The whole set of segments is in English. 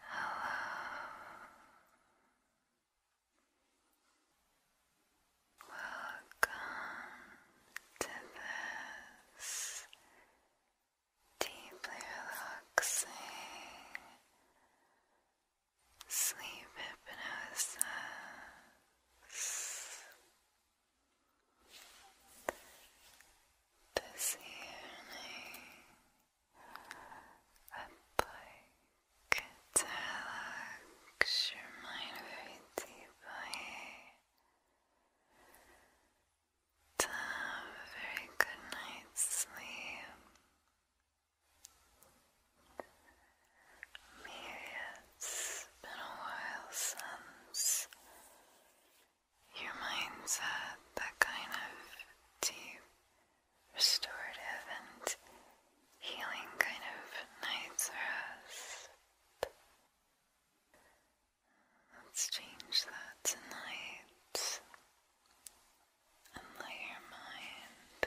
Hello. Welcome to this deeply relaxing sleep hypnosis. This evening, I'd like to relax your mind very deeply, to have a very good night's sleep. Maybe it's been a while since your mindset, that kind of deep, restorative, and healing kind of night's rest. Let's change that tonight and let your mind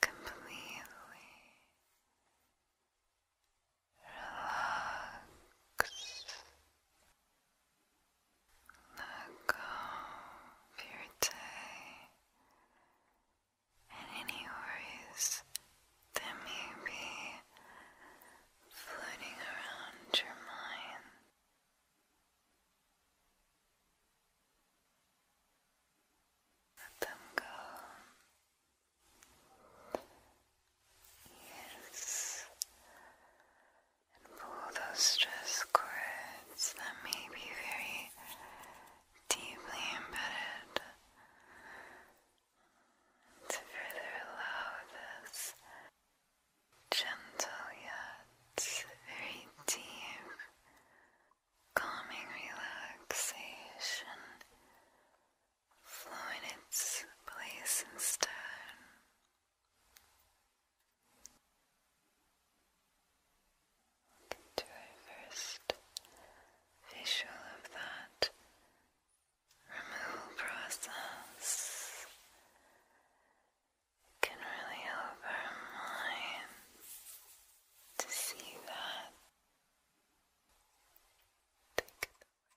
completely Relax. Let go of your day and any worries that may be floating around your mind. Let them go. Yes. And pull those stress cords that may be very deeply embedded to further allow this gentle yet very deep calming relaxation flow in its place in stone. our first visual of that removal process. It can really help our mind to see that. Take it away.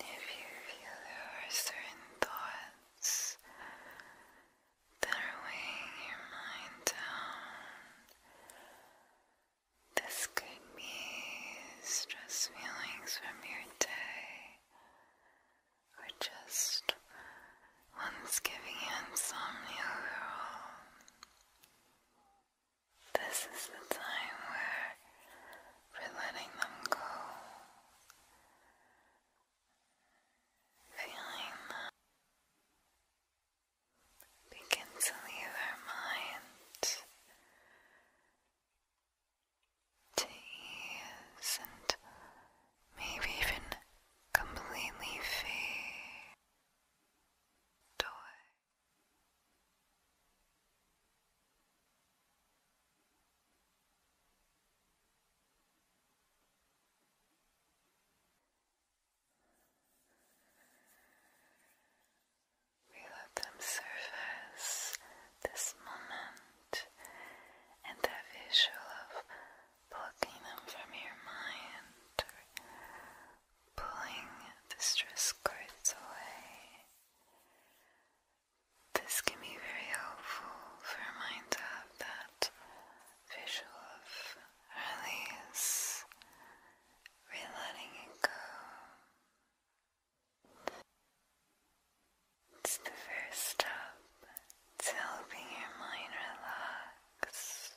If you feel there are certain thoughts that are weighing your mind down, this could be stress feelings from your day, or just ones giving you insomnia overall. This is the time where we're letting them go. Feeling them begin to leave our mind to and maybe even completely fade away. We let them surface this moment and that visual of plucking them from your mind or pulling the stress cords away. This can be very helpful for our mind to have that visual of release, letting it go. It's the first step to helping your mind relax.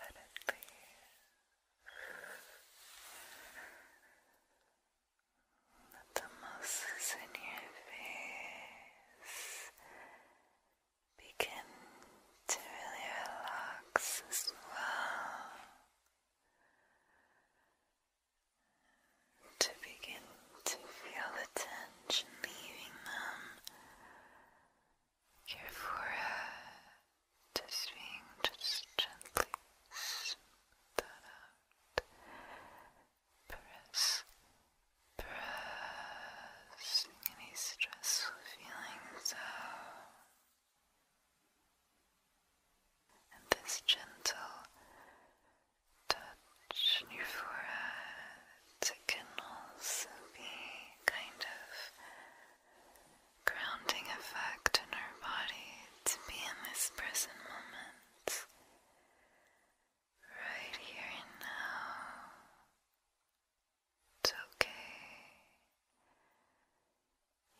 Let it the muscles in your face begin to relax as well. To begin to feel the tension leaving them your just being just gently smooth pressing any stressful feelings out. And this gentle touch on but it can also be kind of grounding effect in our body to be in this present moment, right here and now. okay.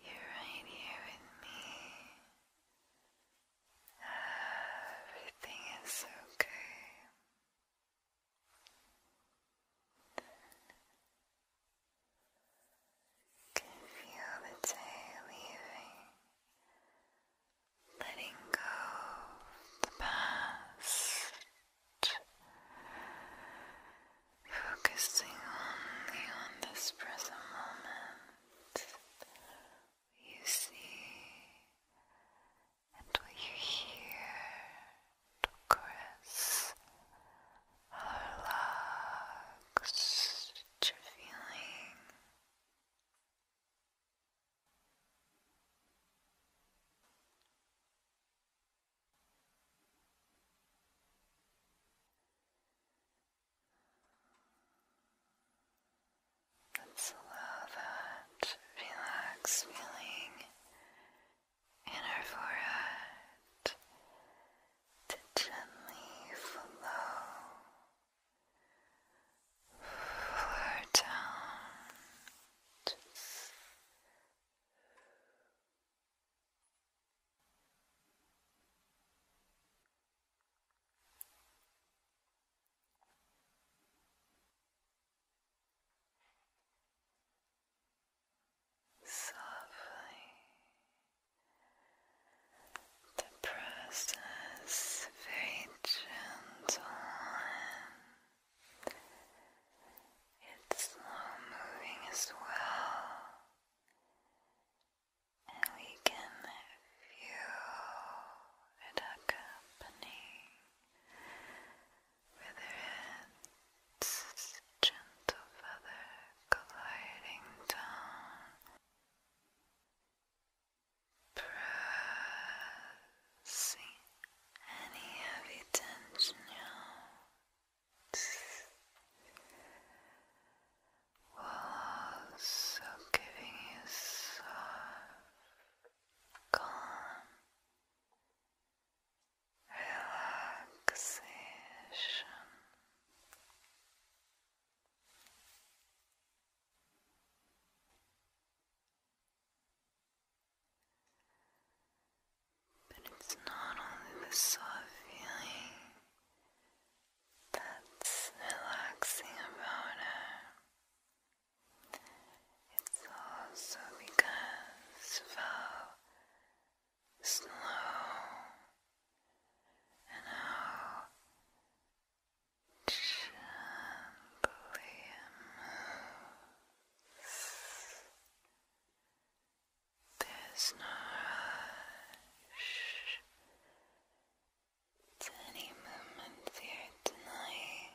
You're right here with me. Everything is okay. Can feel the day leaving, letting go of the past, focusing only on this present moment. You see and were you here to caress or your feeling? Let's allow that relaxed feeling in her forehead to gently flow, flow down softly the process very gentle it's slow moving as well and we can feel it accompanying with their hands, gentle feather gliding down. Pressing any heavy tension out while also giving you soft, calm, relaxation. But it's not only the soft feeling that's relaxing about it. It's also because how slow and how gently There's no rush any movement here tonight.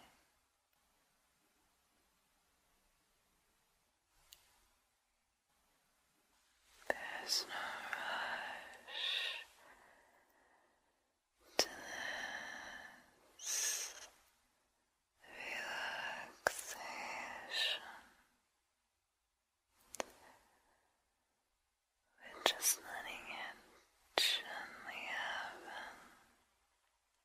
There's no rush to this relaxation. We're just letting it gently happen.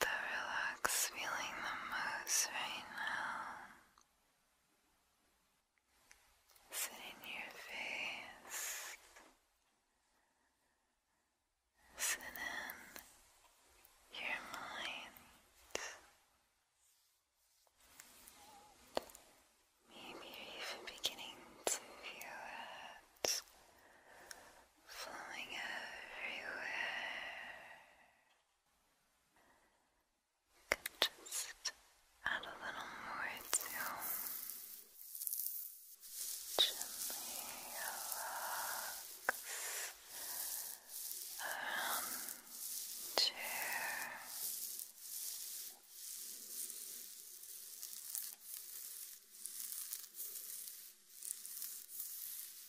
the relaxed feeling the most right now. Sit in your face. Sit in your mind. Maybe even beginning to feel it flowing everywhere. You can just add a little more to gently relax around the chair. Just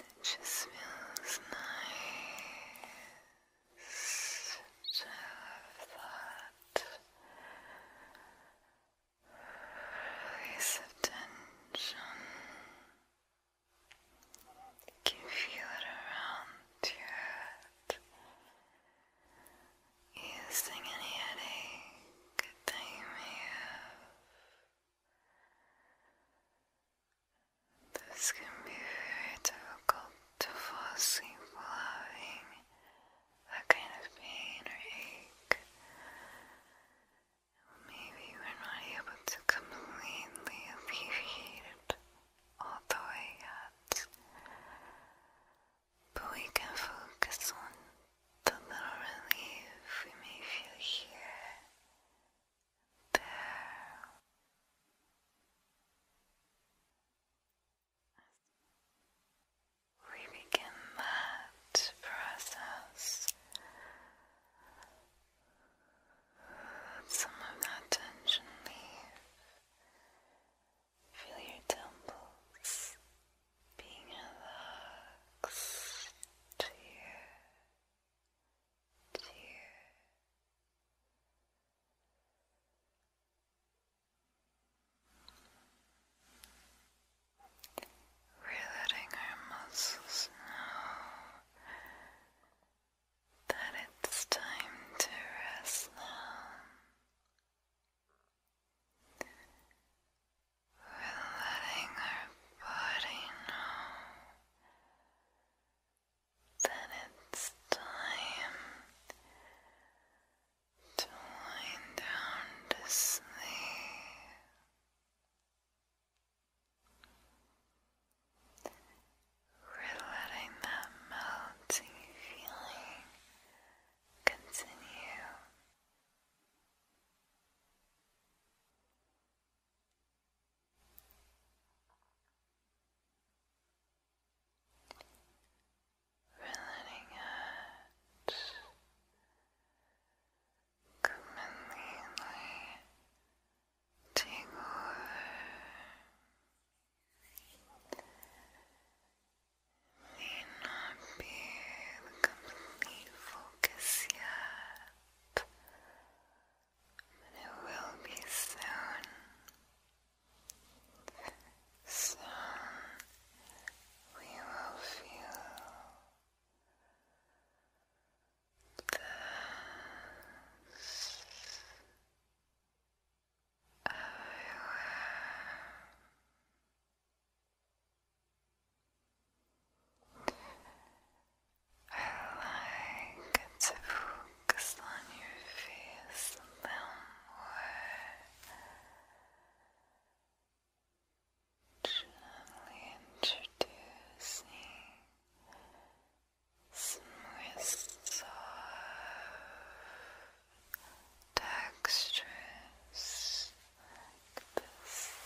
It just feels nice to have that release You can feel it around your head using any headache that you may have. This can be very difficult to fall asleep while having that kind of pain or ache. Maybe we're not able to completely alleviate it all the way yet but we can focus on the little relief we may feel here, there. We begin that process. some of that tension leave. Feel your temples being relaxed to your, we're letting our muscles know that it's time to rest now. We're letting our body know that it's time to wind down to sleep. We're letting that melting feeling continue. Running completely take over May not be the complete focus yet, but it will be soon. Soon we will feel this. I like to focus on your face a gently introducing some soft textures like pillow.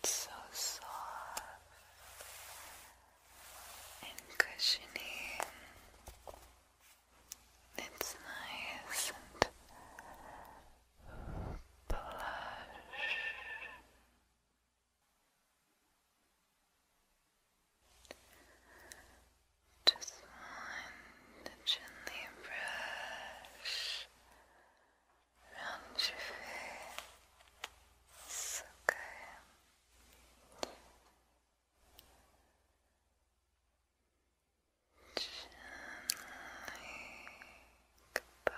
It's so soft and cushiony. It's nice and plush. Just want to gently brush your face, okay? Gently, goodbye.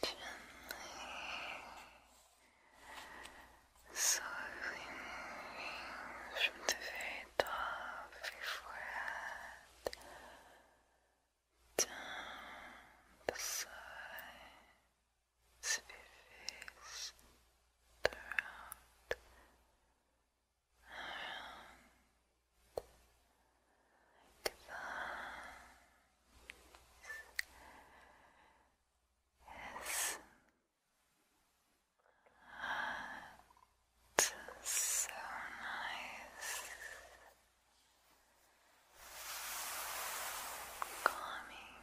Gently, slowly from the very it off forehead, down the sides of your throat, around the thumbs. That's so nice. Calming.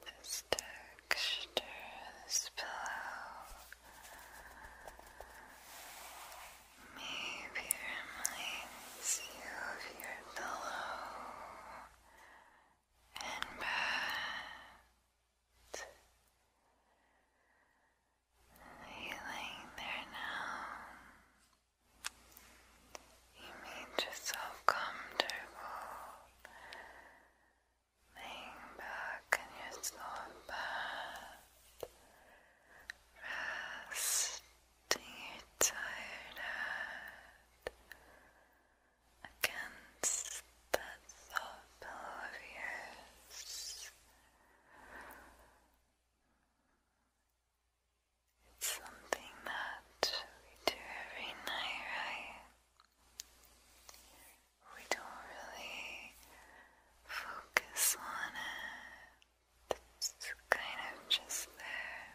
This texture, this pillow maybe reminds you of your pillow and bed you laying there now? You made yourself comfortable, laying back in your soft bath, resting your tired out against that soft pillow of yours. It's something that we do every night, right? We don't really focus on it. It's kind of just there.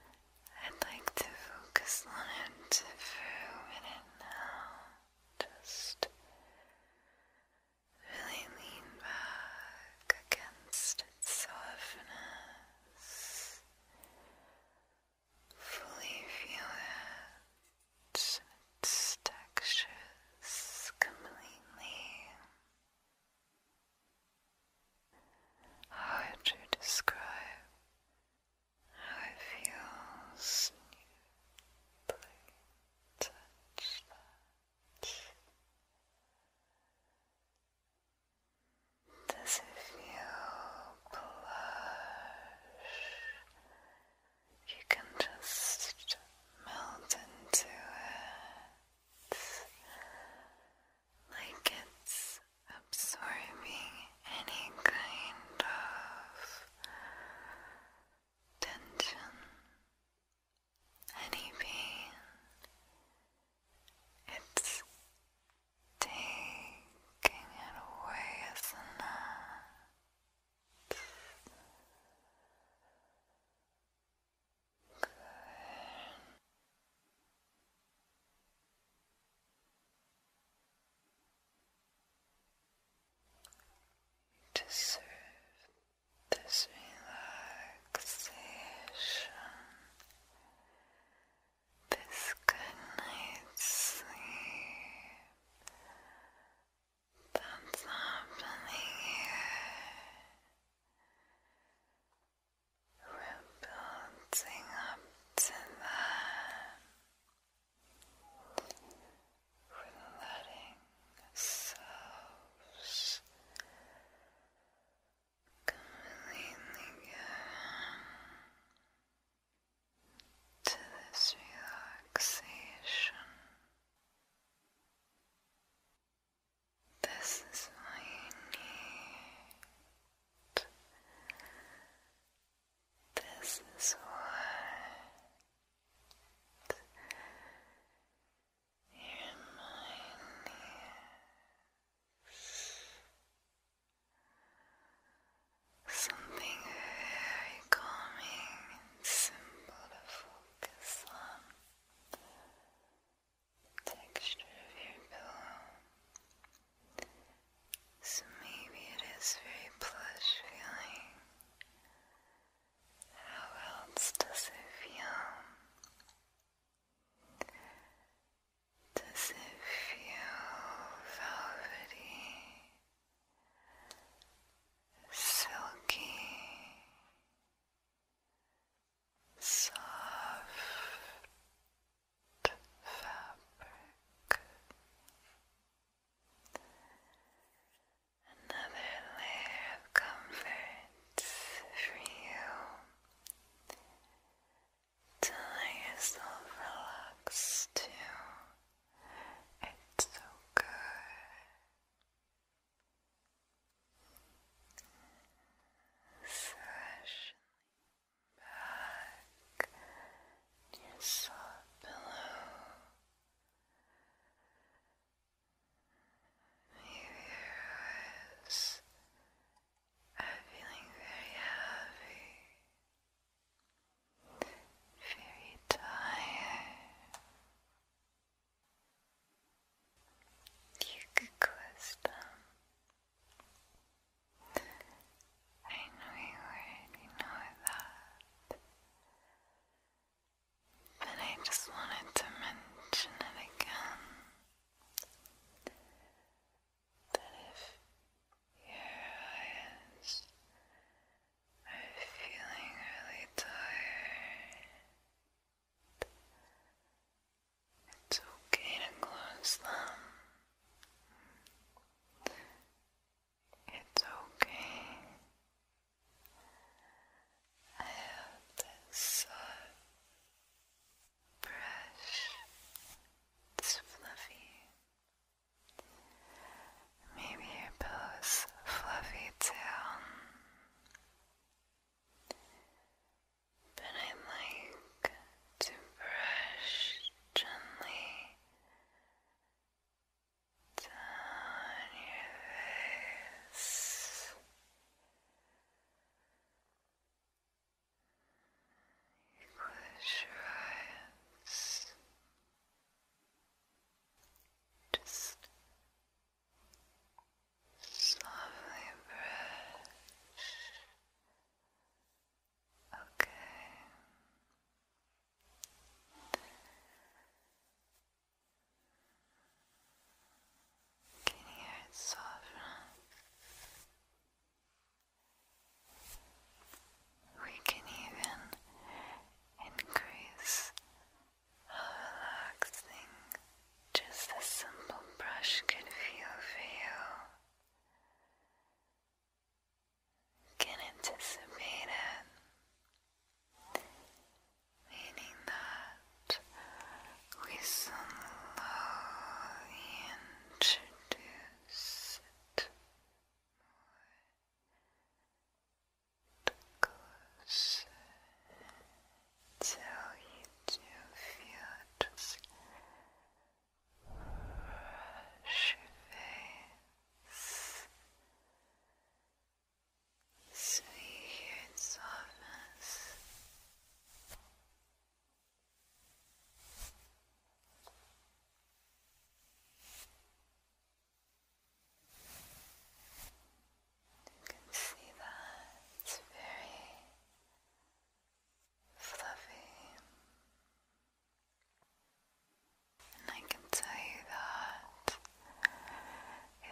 I'd like to focus on it for a minute now. Just Really lean back against its softness. Fully feel its textures completely. Hard to describe how it feels does it feel plush? You can just melt into it like it's absorbing any kind of tension, any pain. It's taking it away, isn't it? Good deserve this relaxation, this good night's sleep that's happening here. building up to that we letting ourselves completely go to this relaxation. This is what you need. This is what in my knees. Something very calming and simple to focus on. texture of your pillow. maybe it is very plush feeling. How else does it feel? Does it feel velvety, silky, soft fabric? another layer of comfort for you to yourself relax too. It's so good. Swish back your soft pillow viewers are feeling very heavy, very tired. You could close them. I know you already know that but I just wanted to mention it again that if your eyes are feeling really tired, it's okay to close them. It's okay. I have this uh, brush. It's fluffy. Maybe your pillow's fluffy too. But I like to brush gently down your face. You close your eyes. Just softly brush. Okay. Can you hear it soften? We can even increase how relaxing just a simple brush can feel for you. Can anticipate it meaning that we slowly introduce it more closer until you feel it just sweet here in softness. You can see that it's very fluffy. And I can tell you that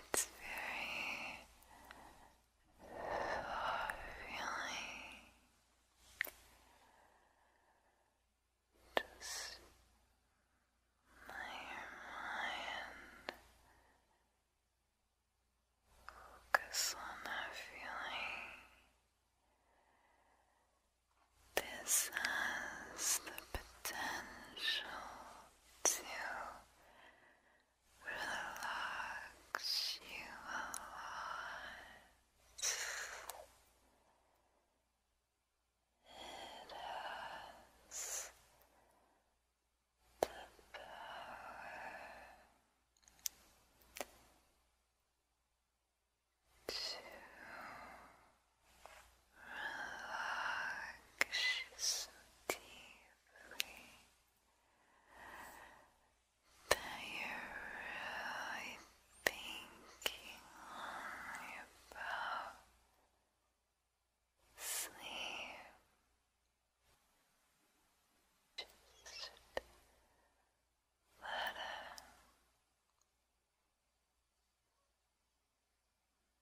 it's very feeling. Just let your mind focus on that feeling. This has the potential to relax you a lot. It has the power to Relax deeply that you're really thinking about sleep. Just let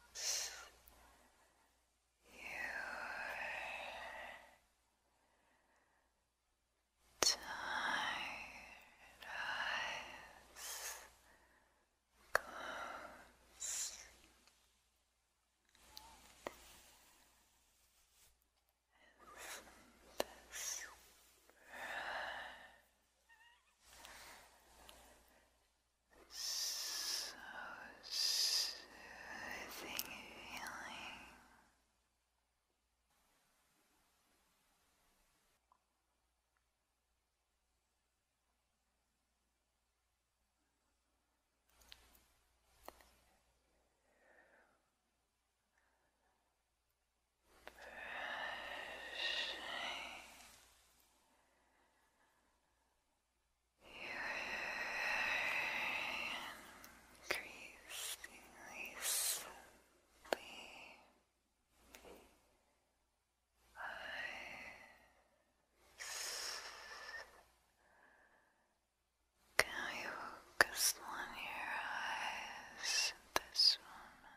loves your tired eyes close isn't this so soothing feeling. Brushing you're increasingly sleepy. Can we focus on your eyes this moment?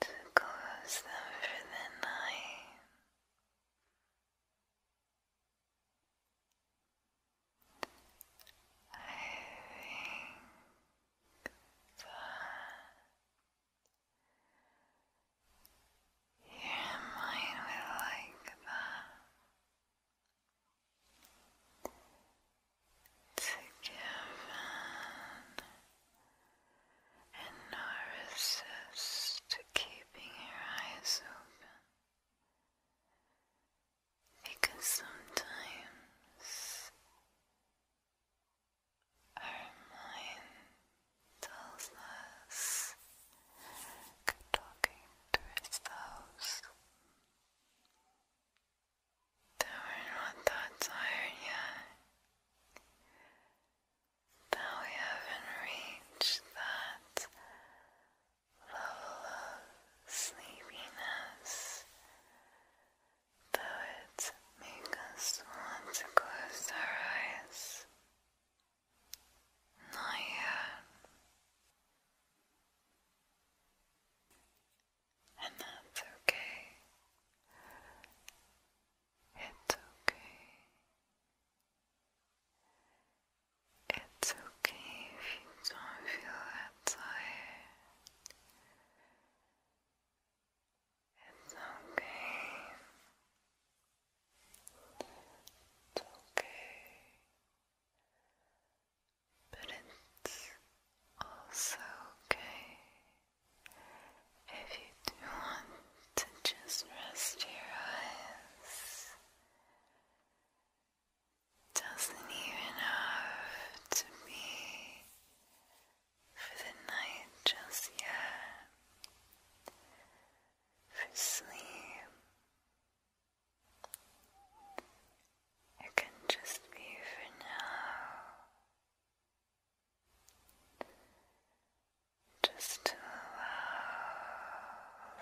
Do you want to close them for the night? I think that your mind will like that. Together. And no resist keeping your eyes open. Because sometimes our mind tells us talking to ourselves that we're not that tired yet, that we haven't reached that level of sleepiness Poets make us want to close our eyes. Not yet. And that's okay. It's okay. It's okay if you don't feel that tired. It's okay. It's okay. But it's also okay if you want to just rest your eyes. Doesn't even have to be for the night just yet, for sleep. It can just be for now, just to allow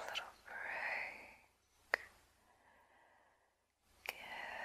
a little break. Give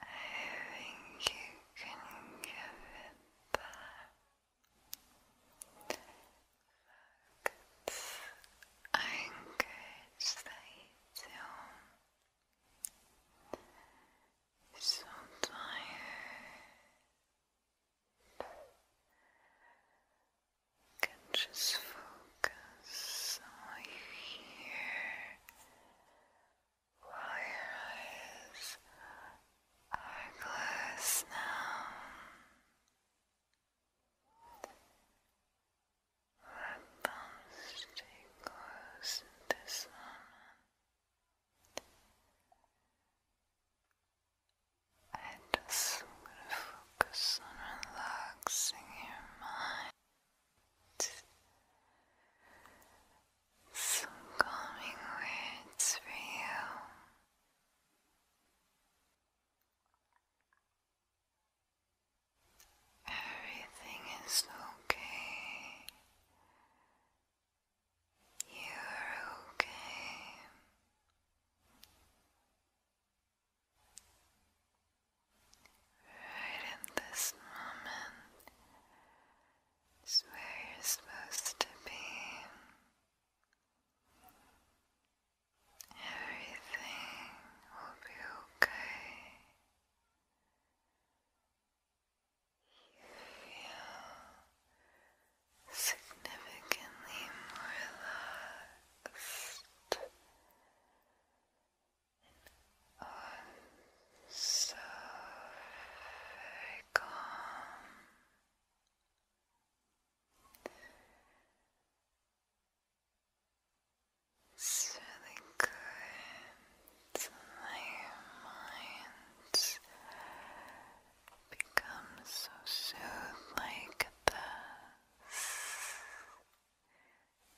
I think you can give it back. I encourage that you do. so tired. You can just focus on you here while your eyes are closed now. Let them stay close this moment. I just want to focus on relaxing your mind. Some calming words for you. Everything is okay. You're okay. Right in this moment is where you're supposed to be. Everything will be okay feel significantly more relaxed and oh, very calm. It's really good to let mind becomes so soothed like this.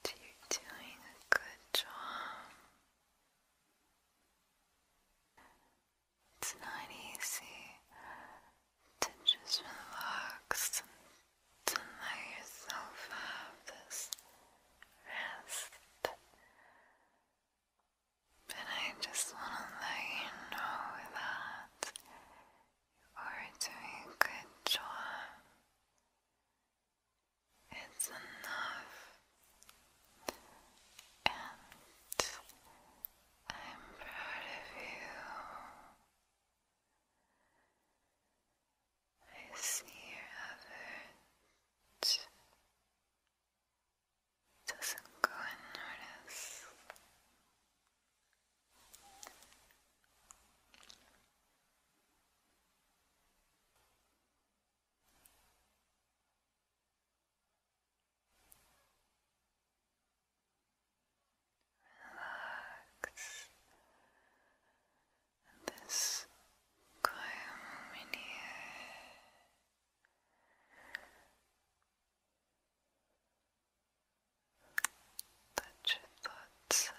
You're doing a good job. It's not easy to just relax to let yourself have this rest. But I just want to let you know that you are doing a good job. It's enough. And I'm proud of you. I see your effort. Just go and notice relax this quiet here let your thoughts settle.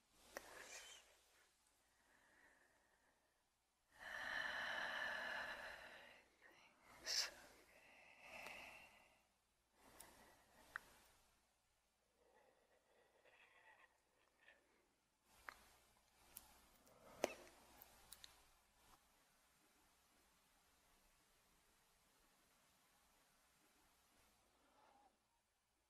Everything's okay. Everything's okay.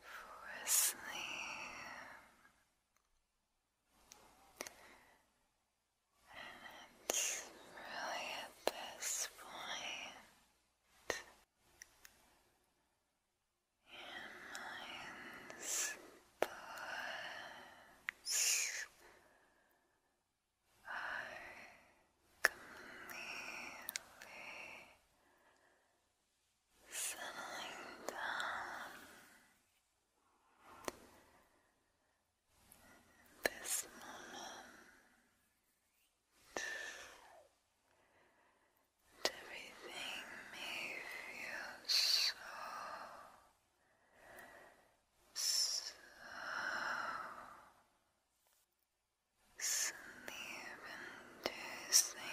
for sleep. And it's really at this point in mind's buds are completely settling down. This moment, everything may feel so, so sleep-inducing.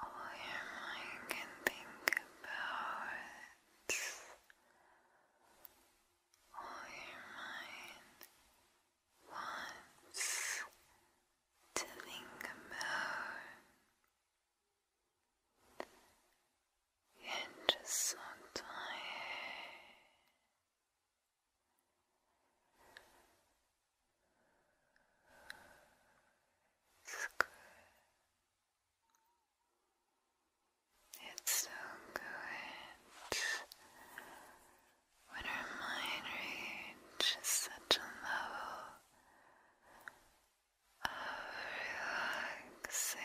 All your mind can think about. All your mind wants to think about and just so tired. It's good. It's so good when our mind reaches such a level of relaxation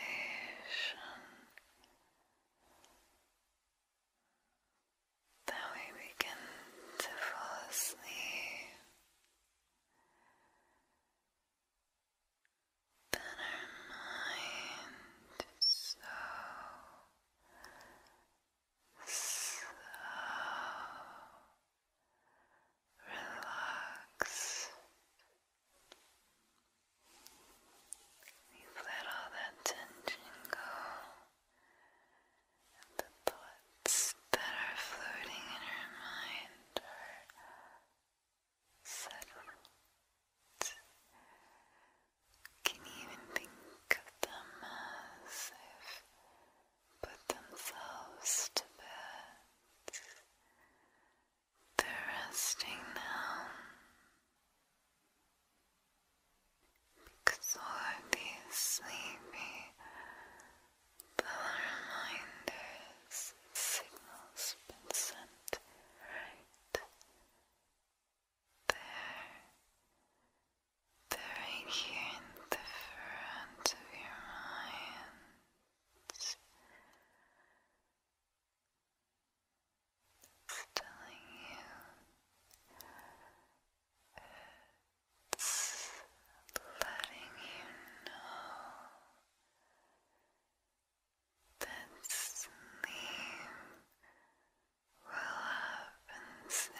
that we begin to fall asleep. Then our mind is so slow, relaxed you let all that tension go, and the thoughts that are floating in her mind are settled. Can you even think of them as if put themselves to bed? They're resting now because all of these sleepy bell reminders signals been sent right there. They're right here in the front of your mind. It's telling you, letting you know that sleep will happen soon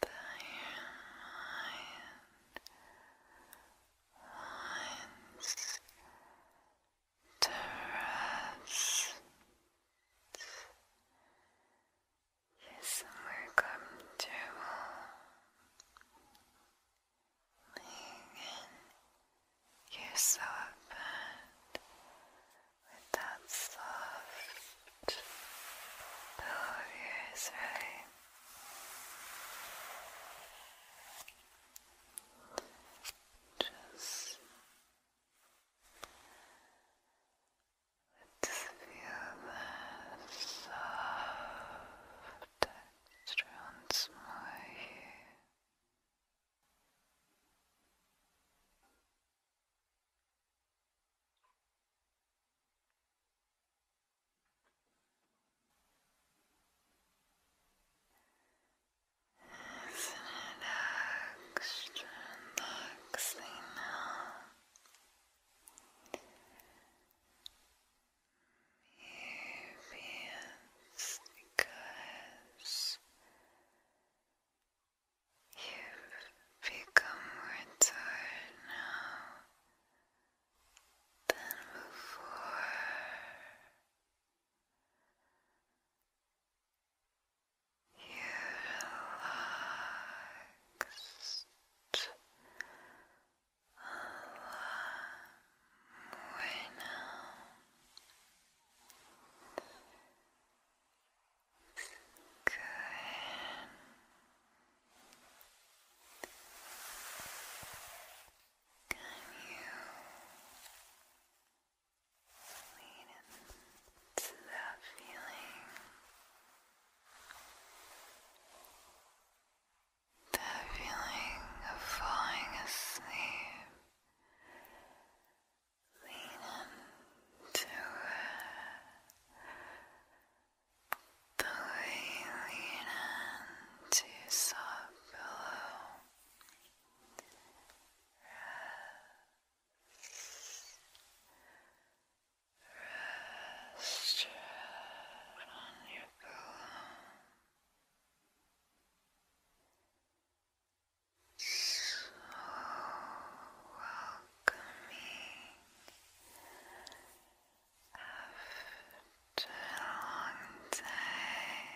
that your mind wants to rest. Is somewhere comfortable. Lean yourself with that soft pillow of just let's feel the soft texture once more here. Isn't it extra relaxing now? Maybe it's because you've become more tired now than before. You're relaxed a good. Can you lean into that feeling? That feeling of falling asleep. Lean into it. Gently lean into soft pillow. Rest. Rest your on your pillow. So welcoming after a long day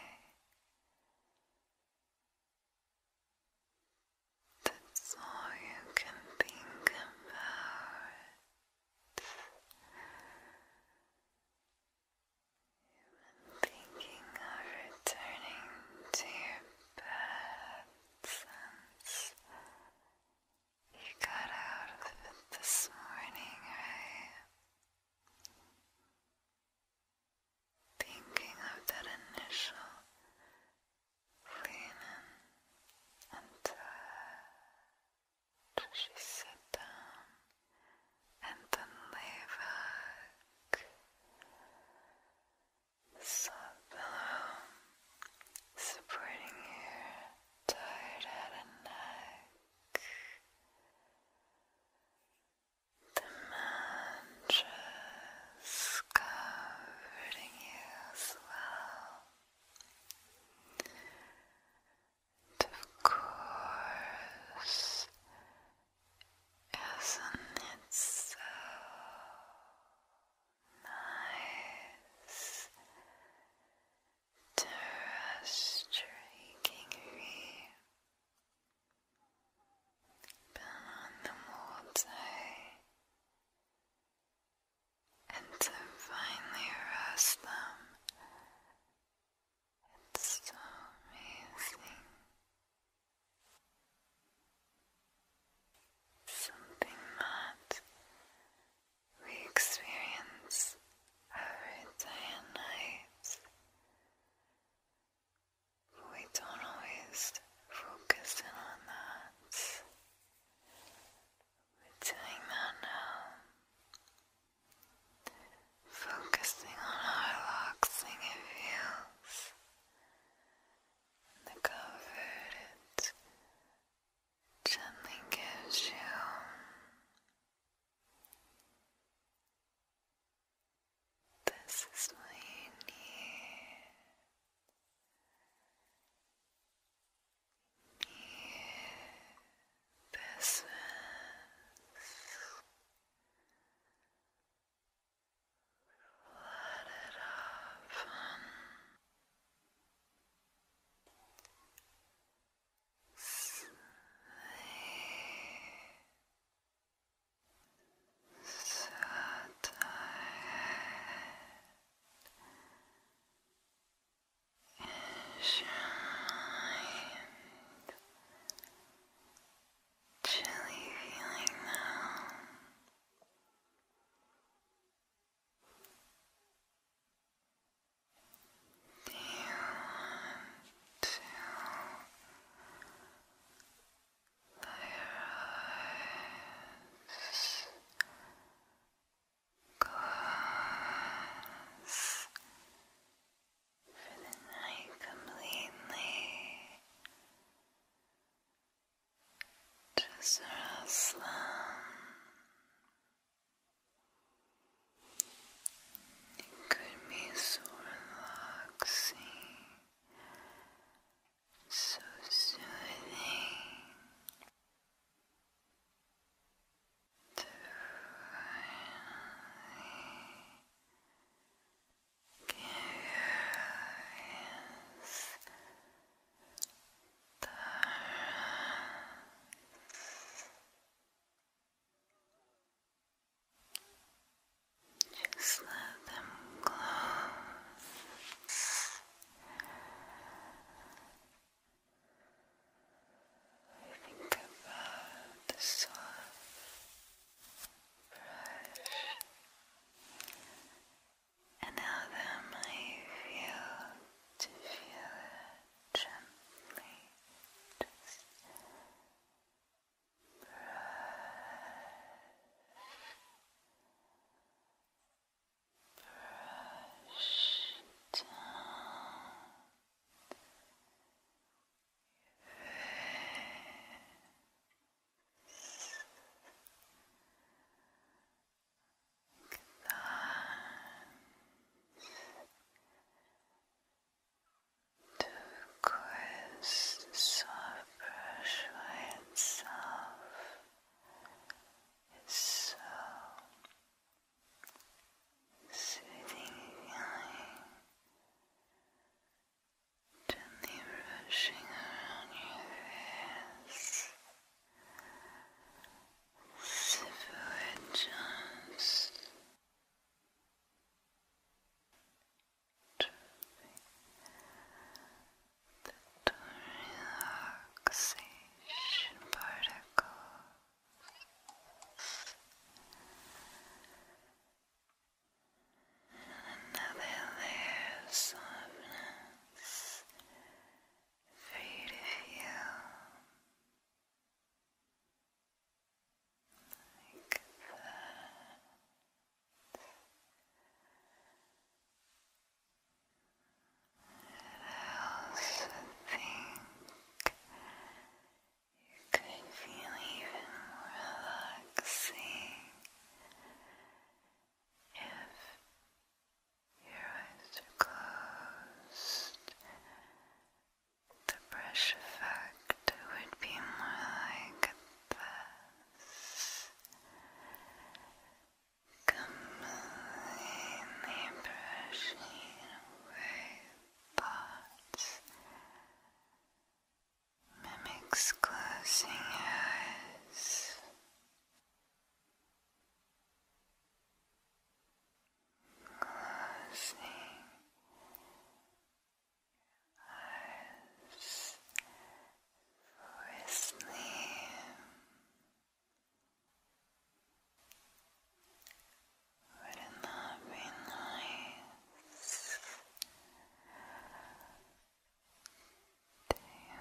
that's all you can think about. you thinking of returning to your bed you got out of it this morning, right? Thinking of that initial cleaning and She sit down and then lay back. The supporting her tired head and neck, the mantras comforting you as well. of course, isn't it so nice terrestrial kingery, on the multi, and to finally roast them. It's so amazing. Something that we experience every day and night. We don't always focus in on that. We're doing that now. Focusing on how relaxing it feels. The comfort it gently gives you this is what you need. need this let it off. Sleep. So tired and shined. Chilly feeling now. Do you want to close? for the night completely. Just sort it could be so relaxing, so soothing to finally get your there. Just let them close. Think about the soft brush and how to feel gently just brush, brush down your face. The quiz soft brush by itself is so gently brushing around your face situations to the relaxation particles Another layer of for you to feel like that. And I also think you could feel even more relaxing if your eyes are closed. The brush effect would be more like this. Completely brushing away Mimics closing eyes. Closing eyes for sleep. Wouldn't that be nice? Do you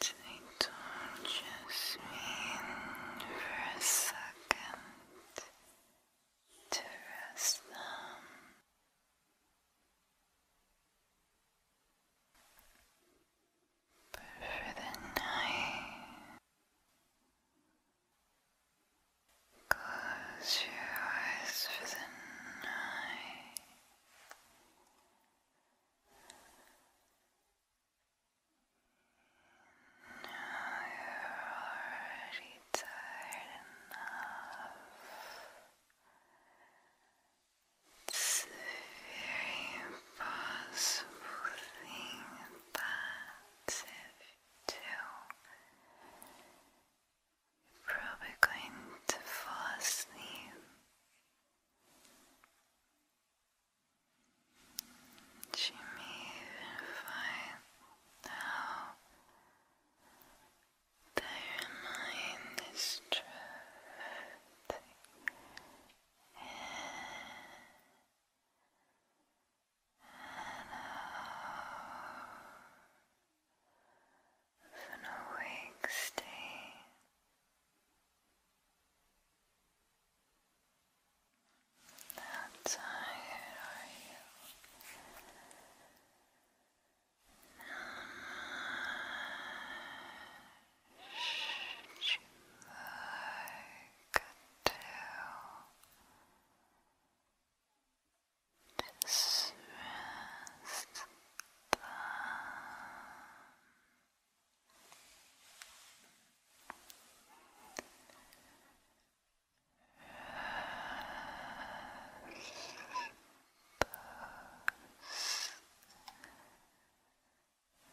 They don't just mean for a second to rest them. But for the night, close your eyes for the night. Now you're already tired enough. It's a very impossible thing that if you do, you're probably going to fall asleep. She may even find out that mind is drifting and out of an awake state. How tired are you? Much more could do to stress them.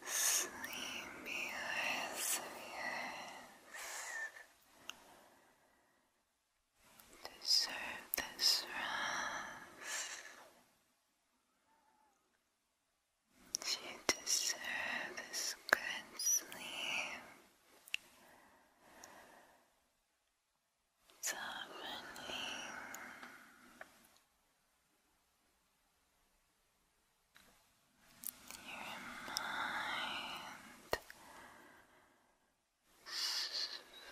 Sleepiest of deserve this rest. You deserve this good sleep. Softening. Your mind slowly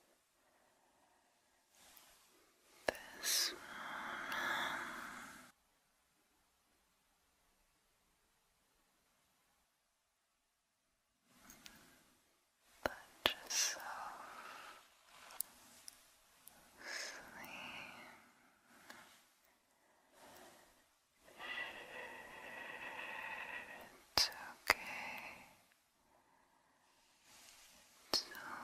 This one. Let yourself sleep. It's okay it's okay. You're okay.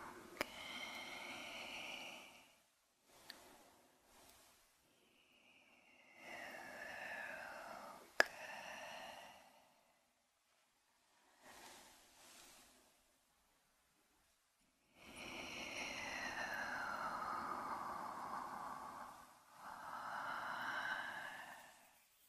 You are